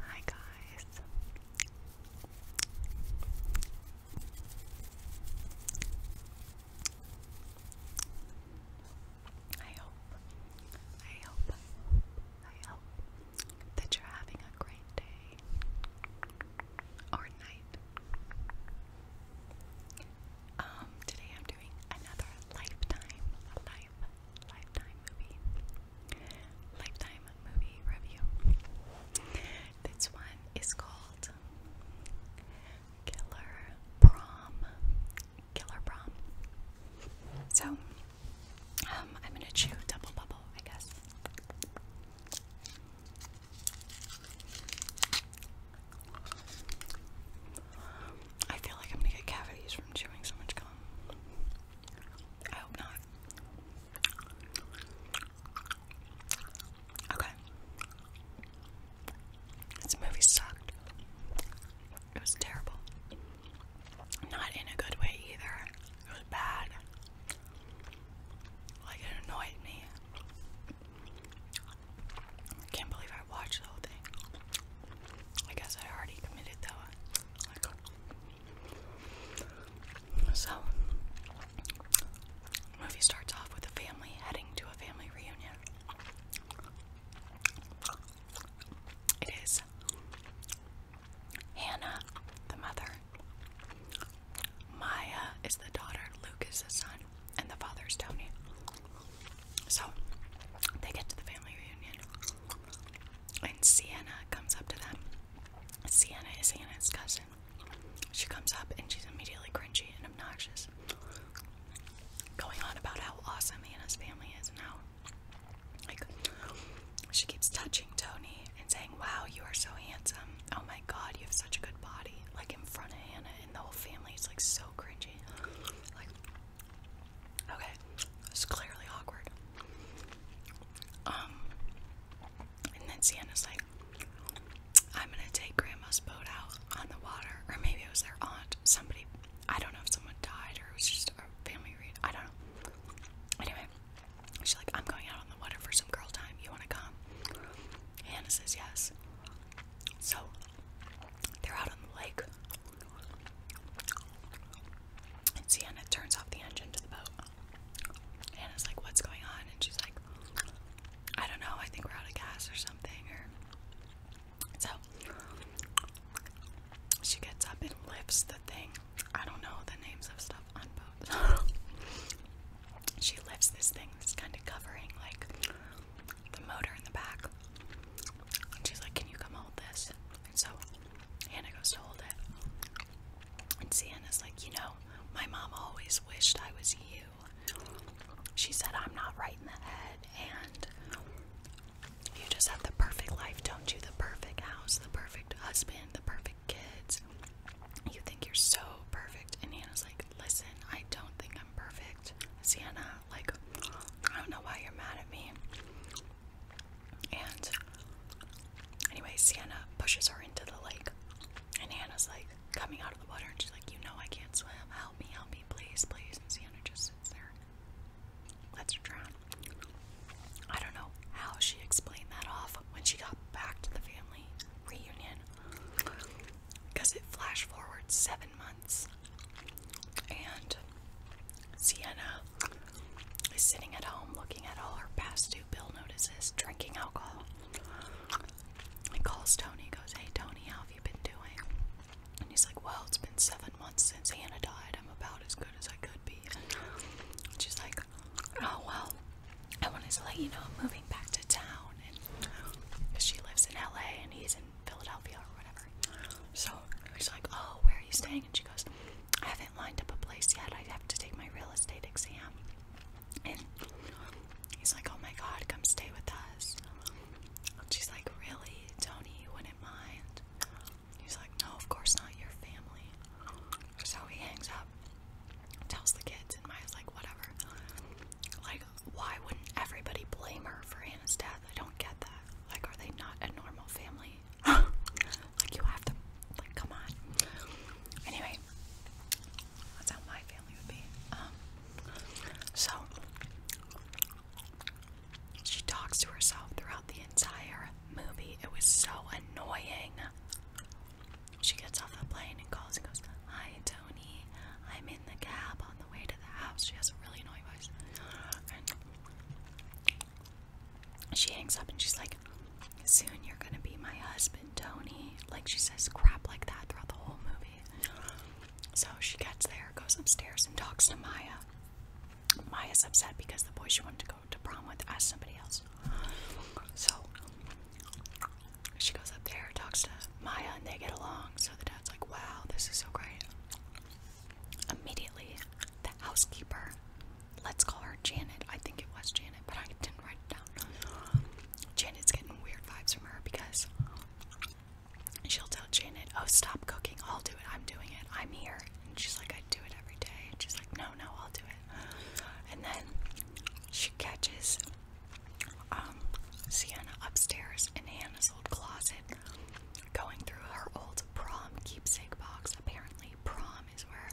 Hi guys. I hope, I hope, I hope that you're having a great day or night. Um, today I'm doing another lifetime life Lifetime movie. Lifetime movie review. This one is called Killer Prom. Killer Prom. So, um, I'm gonna chew double bubble, I guess. I feel like I'm gonna get cavities from chewing so much gum. I hope not. Okay. This movie sucked. It was terrible. Not in a good way either. It was bad. Like, it annoyed me. can't believe I watched the whole thing. I guess I already committed that one. so, movie starts off with a family heading to a family reunion. It is Hannah, the mother. Maya is the daughter, Luke is the son, and the father is Tony. So they get to the family reunion, and Sienna comes up to them. Sienna is Sienna's cousin. She comes up and she's immediately cringy and obnoxious, going on about how awesome Anna's family is and how, like, she keeps touching Tony and saying, Wow, you are so handsome. Oh my god, you have such a good body. Like, in front of Hannah and the whole family it's like so cringy. Like, Okay, it's clearly awkward. Um, and then Sienna's like, I'm gonna take grandma's boat out on the water, or maybe it was their aunt, somebody, I don't know if someone died or it was just a family read, I don't know. Anyway, she's like, I'm going out on the water for some girl time, you wanna come? Hannah says yes. So, they're out on the lake, and Sienna turns off the engine to the boat. Hannah's like, What's going on? And she's like, I don't know, I think we're out of gas or something. so she gets up and lifts the thing. I don't know the names of stuff on boats. she lifts this thing that's kind of covering like the motor in the back. And she's like, Can you come hold this? And so Hannah goes to hold it. And Sienna's like, You know, my mom always wished I was you. She said, I'm not right in the head, and you just have the perfect life, don't you? The perfect house, the perfect husband, the perfect kids. You think you're so perfect. And Hannah's like, Listen, I don't think I'm perfect. Sienna, like, I don't know why you're mad at me. And anyway, Sienna pushes her into the lake, and Hannah's like coming out of the water, and she's like, You know, I can't swim. Help me, help me, please, please. And Sienna just sits there, lets her drown. I don't know how she explained that off when she got back to the family reunion because it flashed forward seven months. And Sienna is sitting at home looking at all her past due bill notices, drinking alcohol. He calls Tony, goes, Hey Tony, how have you been doing? And he's like, Well, it's been seven months since Hannah died. I'm about as good as I could be. And she's like, Oh, well, I wanted to let you know I'm moving back to town. And she lives in LA and he's in Philadelphia or whatever. So he's like, Oh, where are you staying? And she goes, I haven't lined up a place yet. I have to take my real estate exam. And he's like, Oh my god, come stay with us. And she's like, Really? Tony, you wouldn't mind? He's like, No, of course not. Your family. So he hangs up, tells the kids, and Maya's like, Whatever. Like, why wouldn't everybody blame her for Anna's death? I don't get that. Like, are they not a normal family? like, you have to, like, come on. Anyway, that's how my family would be. Um, so, she talks to herself throughout the entire movie. It was so annoying. She gets off the plane and calls and goes, Hi, Tony. I'm in the cab on the." way to the house. She has a really annoying voice. she hangs up and she's like, Soon you're gonna be my husband, Tony. Like, she says crap like that throughout the whole movie. So she gets there, goes upstairs, and talks to Maya. Maya's upset because the boy she wanted to go to prom with asked somebody else. So she goes up there, talks to Maya, and they get along. So the dad's like, wow, this is so great. Immediately, the housekeeper, let's call her Janet. I think it was Janet, but I didn't write it down. Janet's getting weird vibes from her because she'll tell Janet, oh, stop cooking. I'll do it. I'm doing it. I'm here. And she's like, I do it every day. And she's like, no, no, I'll do it. And then she catches um, Sienna upstairs in Hannah's old closet, going through her old prom keepsake box. Apparently, prom is where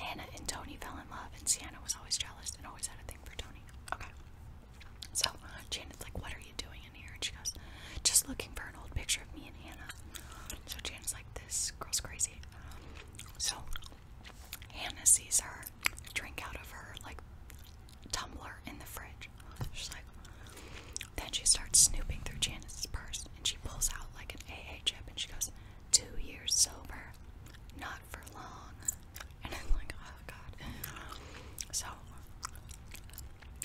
Hannah and Tony fell in love, and Sienna was always jealous and always had a thing for Tony. Okay. So Janet's like, What are you doing in here? And she goes, Just looking for an old picture of me and Hannah. So is like, This girl's crazy. So Hannah sees her drink out of her like tumbler in the fridge. She's like, then she starts snooping through Janet's purse and she pulls out like an AA chip and she goes, Two years sober, not for long. And I'm like, Oh god. So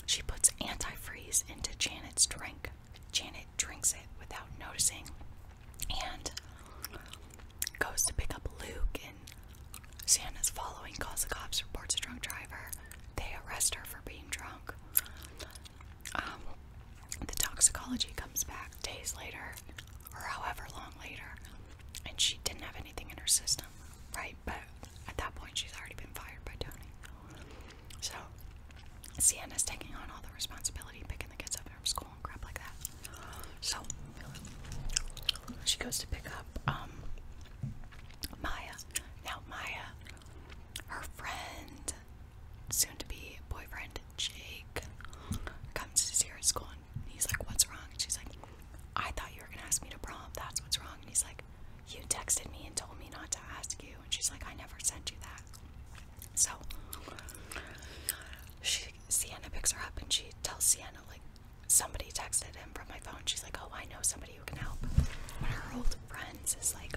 she puts antifreeze into Janet's drink. Janet drinks it without noticing and goes to pick up Luke Indian. Santa's following calls the cops, reports a drunk driver. They arrest her for being drunk. Um, the toxicology comes back days later, or however long later, and she didn't have anything in her system, right? But at that point, she's already been fired by Tony. So, Sienna's taking on all the responsibility, picking the kids up from school crap like that. So she goes to pick up um, Maya. Now Maya, her friend, soon to be boyfriend Jake, comes to see her at school and he's like, "What's wrong?" she's like, "I thought you were gonna ask me to prom. That's what's wrong." And he's like, "You texted me and told me not to ask you." And she's like, "I never sent you that." So she Sienna picks her up and she tells Sienna like somebody texted him from my phone. She's like, "Oh, I know somebody who can help." One of her old friends is like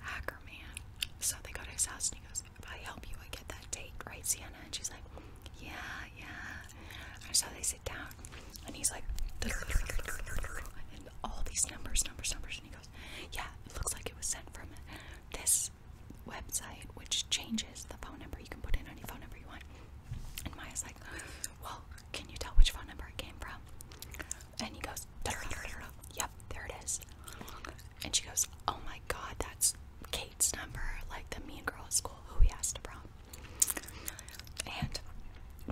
hacker man. So they go to his house and he goes, "If I help you, I get that date, right, Sienna?" And she's like, "Yeah, yeah." And so they sit down, and he's like, and all these numbers, numbers, numbers, and he goes, "Yeah, it looks like it was sent from this website which changes the phone number. You can put in any phone number you want. And Maya's like, Well, can you tell which phone number it came from? And he goes, Yep, there it is. And she goes, Oh my god, that's Kate's number, like the mean girl at school who he asked to prom. And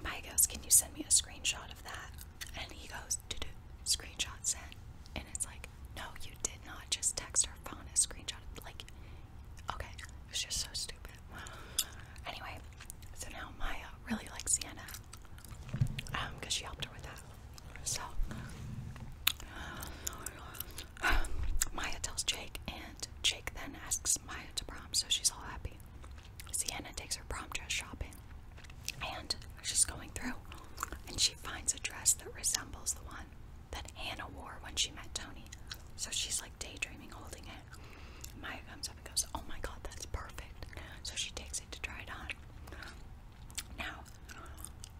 Maya goes, Can you send me a screenshot of that? And he goes, Screenshot sent. And it's like, no, you did not just text her phone and screenshot. Like, okay, it was just so stupid. Anyway, so now Maya really likes Sienna um, because she helped her with that. So, Maya tells Jake, and Jake then asks Maya to prom, so she's all happy. Sienna takes her prom dress shopping, and she's going through, and she finds a dress that resembles the one that Hannah wore when she met Tony. So she's like daydreaming, holding it. Maya comes up and goes, Oh my god, that's perfect. So she takes it to try it on. Now,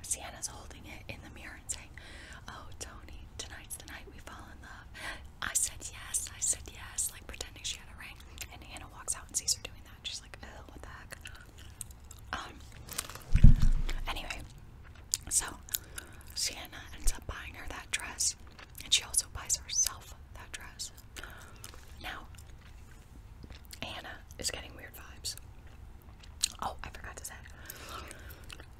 Sienna's holding it in the mirror and saying, Oh, Tony, tonight's the night we fall in love. I said yes, I said yes, like pretending she had a ring. And Hannah walks out and sees her doing that. She's like, Oh, what the heck? Um, anyway, so Sienna ends up buying her that dress, and she also buys herself that dress. Now, Anna is getting weird vibes. Oh, I forgot to say.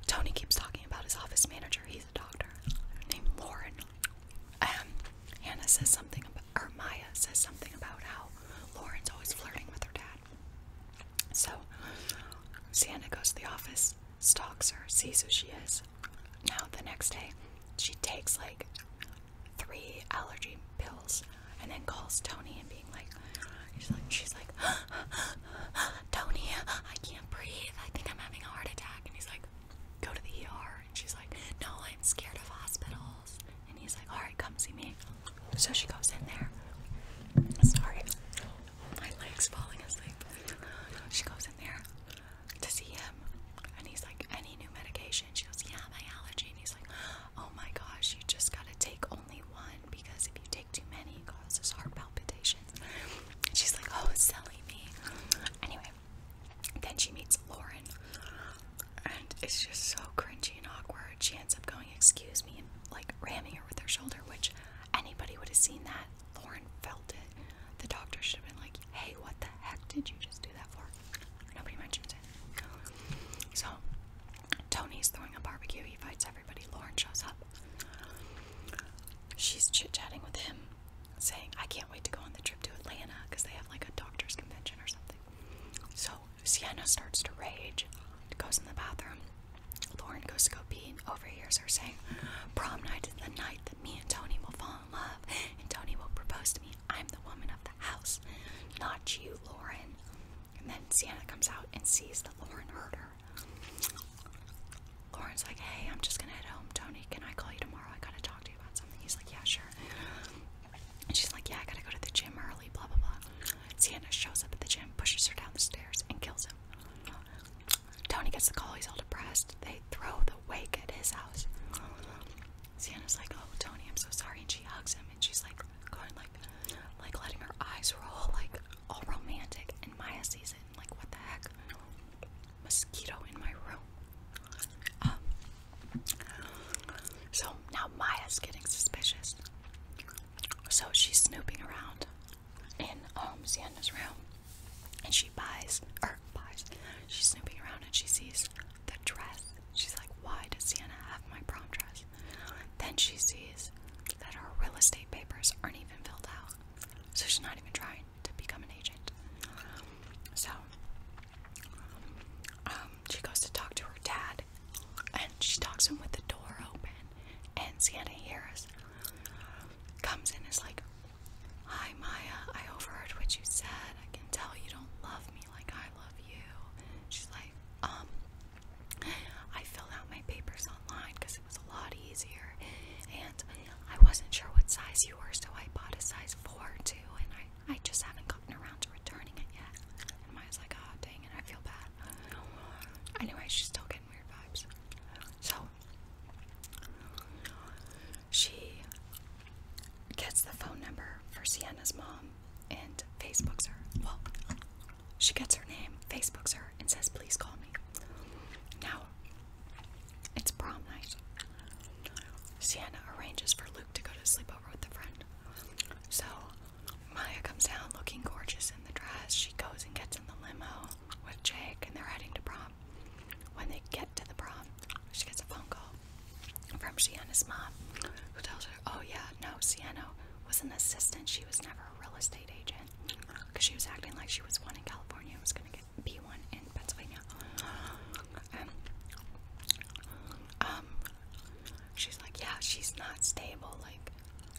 Tony keeps talking about his office manager. He's a doctor named Lauren. Um, Anna says something about, or Maya says something about how Lauren's always flirting with her dad. So Sienna goes to the office, stalks her, sees who she is. Now the next day, she takes like three allergy pills and then calls Tony and being like, she's like Tony, I can't breathe. I think I'm having a heart attack. And he's like, go to the ER. And she's like, no, I'm scared of hospitals. And he's like, all right, come see me. So she goes in there. Sorry, my leg's falling asleep. She goes in there to see him, and he's like, Any new medication? She goes, Yeah, my allergy. And he's like, Oh my gosh, you just gotta take only one because if you take too many, it causes heart palpitations. And she's like, Oh, silly me. Anyway, then she meets Lauren and it's just so cringy and awkward. She ends up going, "Excuse me," and like ramming her with her shoulder, which anybody would have seen that. Lauren felt it. The doctor should have been like, "Hey, what the heck did you just do that for?" Nobody mentions it. So Tony's throwing a barbecue. He fights everybody. Lauren shows up. She's chit chatting with him, saying, "I can't wait to go on the trip to Atlanta because they have like a doctors convention or something." So Sienna starts to rage, goes in the bathroom. Lauren goes to go pee, overhears her saying, Prom night is the night that me and Tony will fall in love, and Tony will propose to me. I'm the woman of the house, not you, Lauren. And then Sienna comes out and sees that Lauren heard her. Lauren's like, Hey, I'm just gonna head home, Tony. Can I call you tomorrow? I gotta talk to you about something. He's like, Yeah, sure. And she's like, Yeah, I gotta go to the gym early, blah blah blah. Sienna shows up at the gym, pushes her down the stairs, and kills him. Tony gets the call, he's all depressed. They throw the wake at his house. Sienna's like, Oh Tony, I'm so sorry and she hugs him and she's like going like like letting her eyes roll, like all romantic and Maya sees it like what the heck? Mosquito in my room. Um, so now Maya's getting suspicious. So she's snooping around in um, Sienna's room and she buys, or buys, she's snooping around and she sees the dress. She's like, why does Sienna have my prom dress? Then she sees that her real estate papers aren't even filled out. So she's not even trying to become an agent. So um, she goes to talk to her dad, and she talks to him with the door open. And Santa hears, comes in, is like, "Hi Maya, I overheard what you said. I can tell you don't love me like I love you." She's like, "Um, I filled out my papers online because it was a lot easier, and I wasn't sure what size you were, so I bought a size four too, and I." I just haven't gotten around to returning it yet. And Maya's like, oh, dang And I feel bad. Anyway, she's still getting weird vibes. So, she gets the phone number for Sienna's mom and Facebooks her. Well, she gets her name, Facebooks her, and says, please call me. Now, it's prom night. Sienna arranges for Luke to go to sleepover with a friend. So Maya comes down looking gorgeous in the dress. She goes and gets in the limo with Jake and they're heading to prom. When they get to the prom, she gets a phone call from Sienna's mom who tells her, Oh, yeah, no, Sienna was an assistant. She was never a real estate agent because she was acting like she was one in California and was going to get be one in Pennsylvania and um she's like, yeah, she's not stable. Like,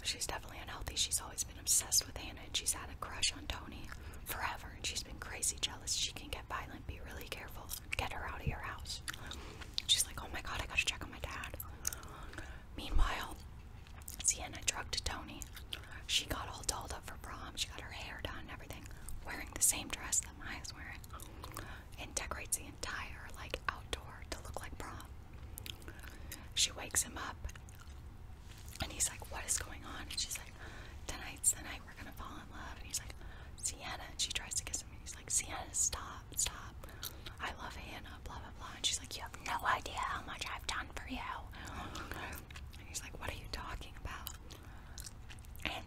she's definitely unhealthy. She's always been obsessed with Hannah, and she's had a crush on Tony forever. And she's been crazy jealous. She can get violent. Be really careful. Get her out of your house. She's like, oh my god, I gotta check on my dad. Meanwhile, Sienna drugged Tony. She got all dolled up for prom. She got her hair done and everything, wearing the same dress that Maya's wearing and decorates the entire like outdoor to look like prom. She wakes him up and he's like, What is going on? she's like, Tonight's the night we're gonna fall in love. And he's like, Sienna. she tries to kiss him and he's like, Sienna, stop, stop. I love Hannah, blah, blah, blah. And she's like, You have no idea how much I've done for you. And he's like, What are you talking about? And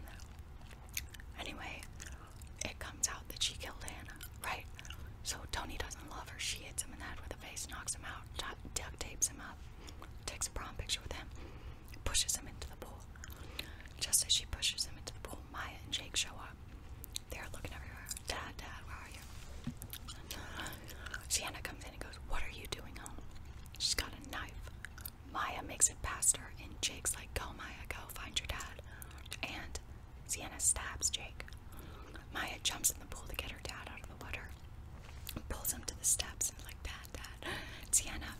anyway, it comes out that she killed Hannah, right? So Tony doesn't love her. She hits him in the head with a vase, knocks him out, duct tapes him up, takes a prom picture with him, pushes him into the pool. Just as she pushes him into the pool, Maya and Jake show up. They're looking everywhere. Dad, Dad, where are you? Sienna comes in and goes, What are you doing home? She's got a knife. Maya makes it past her, and Jake's like, Go, Maya, go find your dad. And Sienna stabs Jake. Maya jumps in the pool to get her dad out of the water, pulls him to the steps, and like, Dad, Dad. Sienna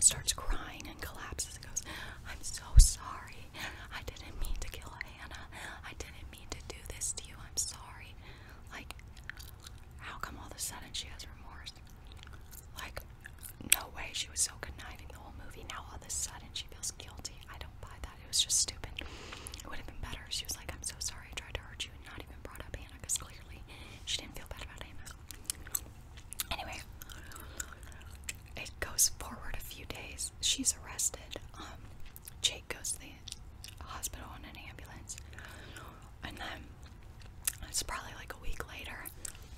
starts crying and collapses and goes, I'm so sorry. I didn't mean to kill Hannah. I didn't mean to do this to you. I'm sorry. Like, how come all of a sudden she has remorse? Like, no way. She was so conniving the whole movie. Now all of a sudden she feels guilty. I don't buy that. It was just stupid. It would have been better. She was like, I'm so sorry I tried to hurt you and not even brought up Hannah because clearly she didn't feel bad about Hannah. Anyway, it goes forward a few days. She's arrested. Um, Jake goes to the hospital in an ambulance. And then it's probably like a week later.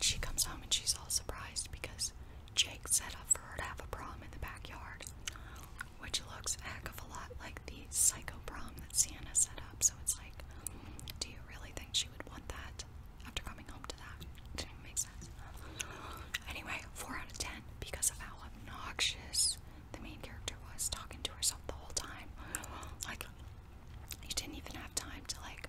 She comes home and she's all surprised because Jake set up for her to have a prom in the backyard, which looks a heck of a lot like the psycho prom that Sienna set up. So it's like, do you really think she would want that after coming home to that? It sense. Anyway, 4 out of 10 because of how obnoxious the main character was talking to herself the whole time. Like, you didn't even have time to, like,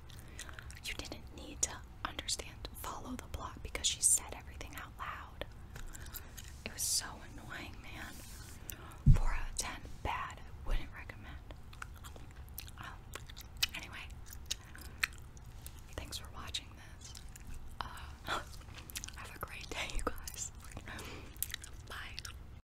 you didn't need to understand, follow the plot because she said everything out loud. It was so annoying, man. 4 out of 10, bad. Wouldn't recommend. Um, anyway, thanks for watching this. Uh, have a great day, you guys. Bye.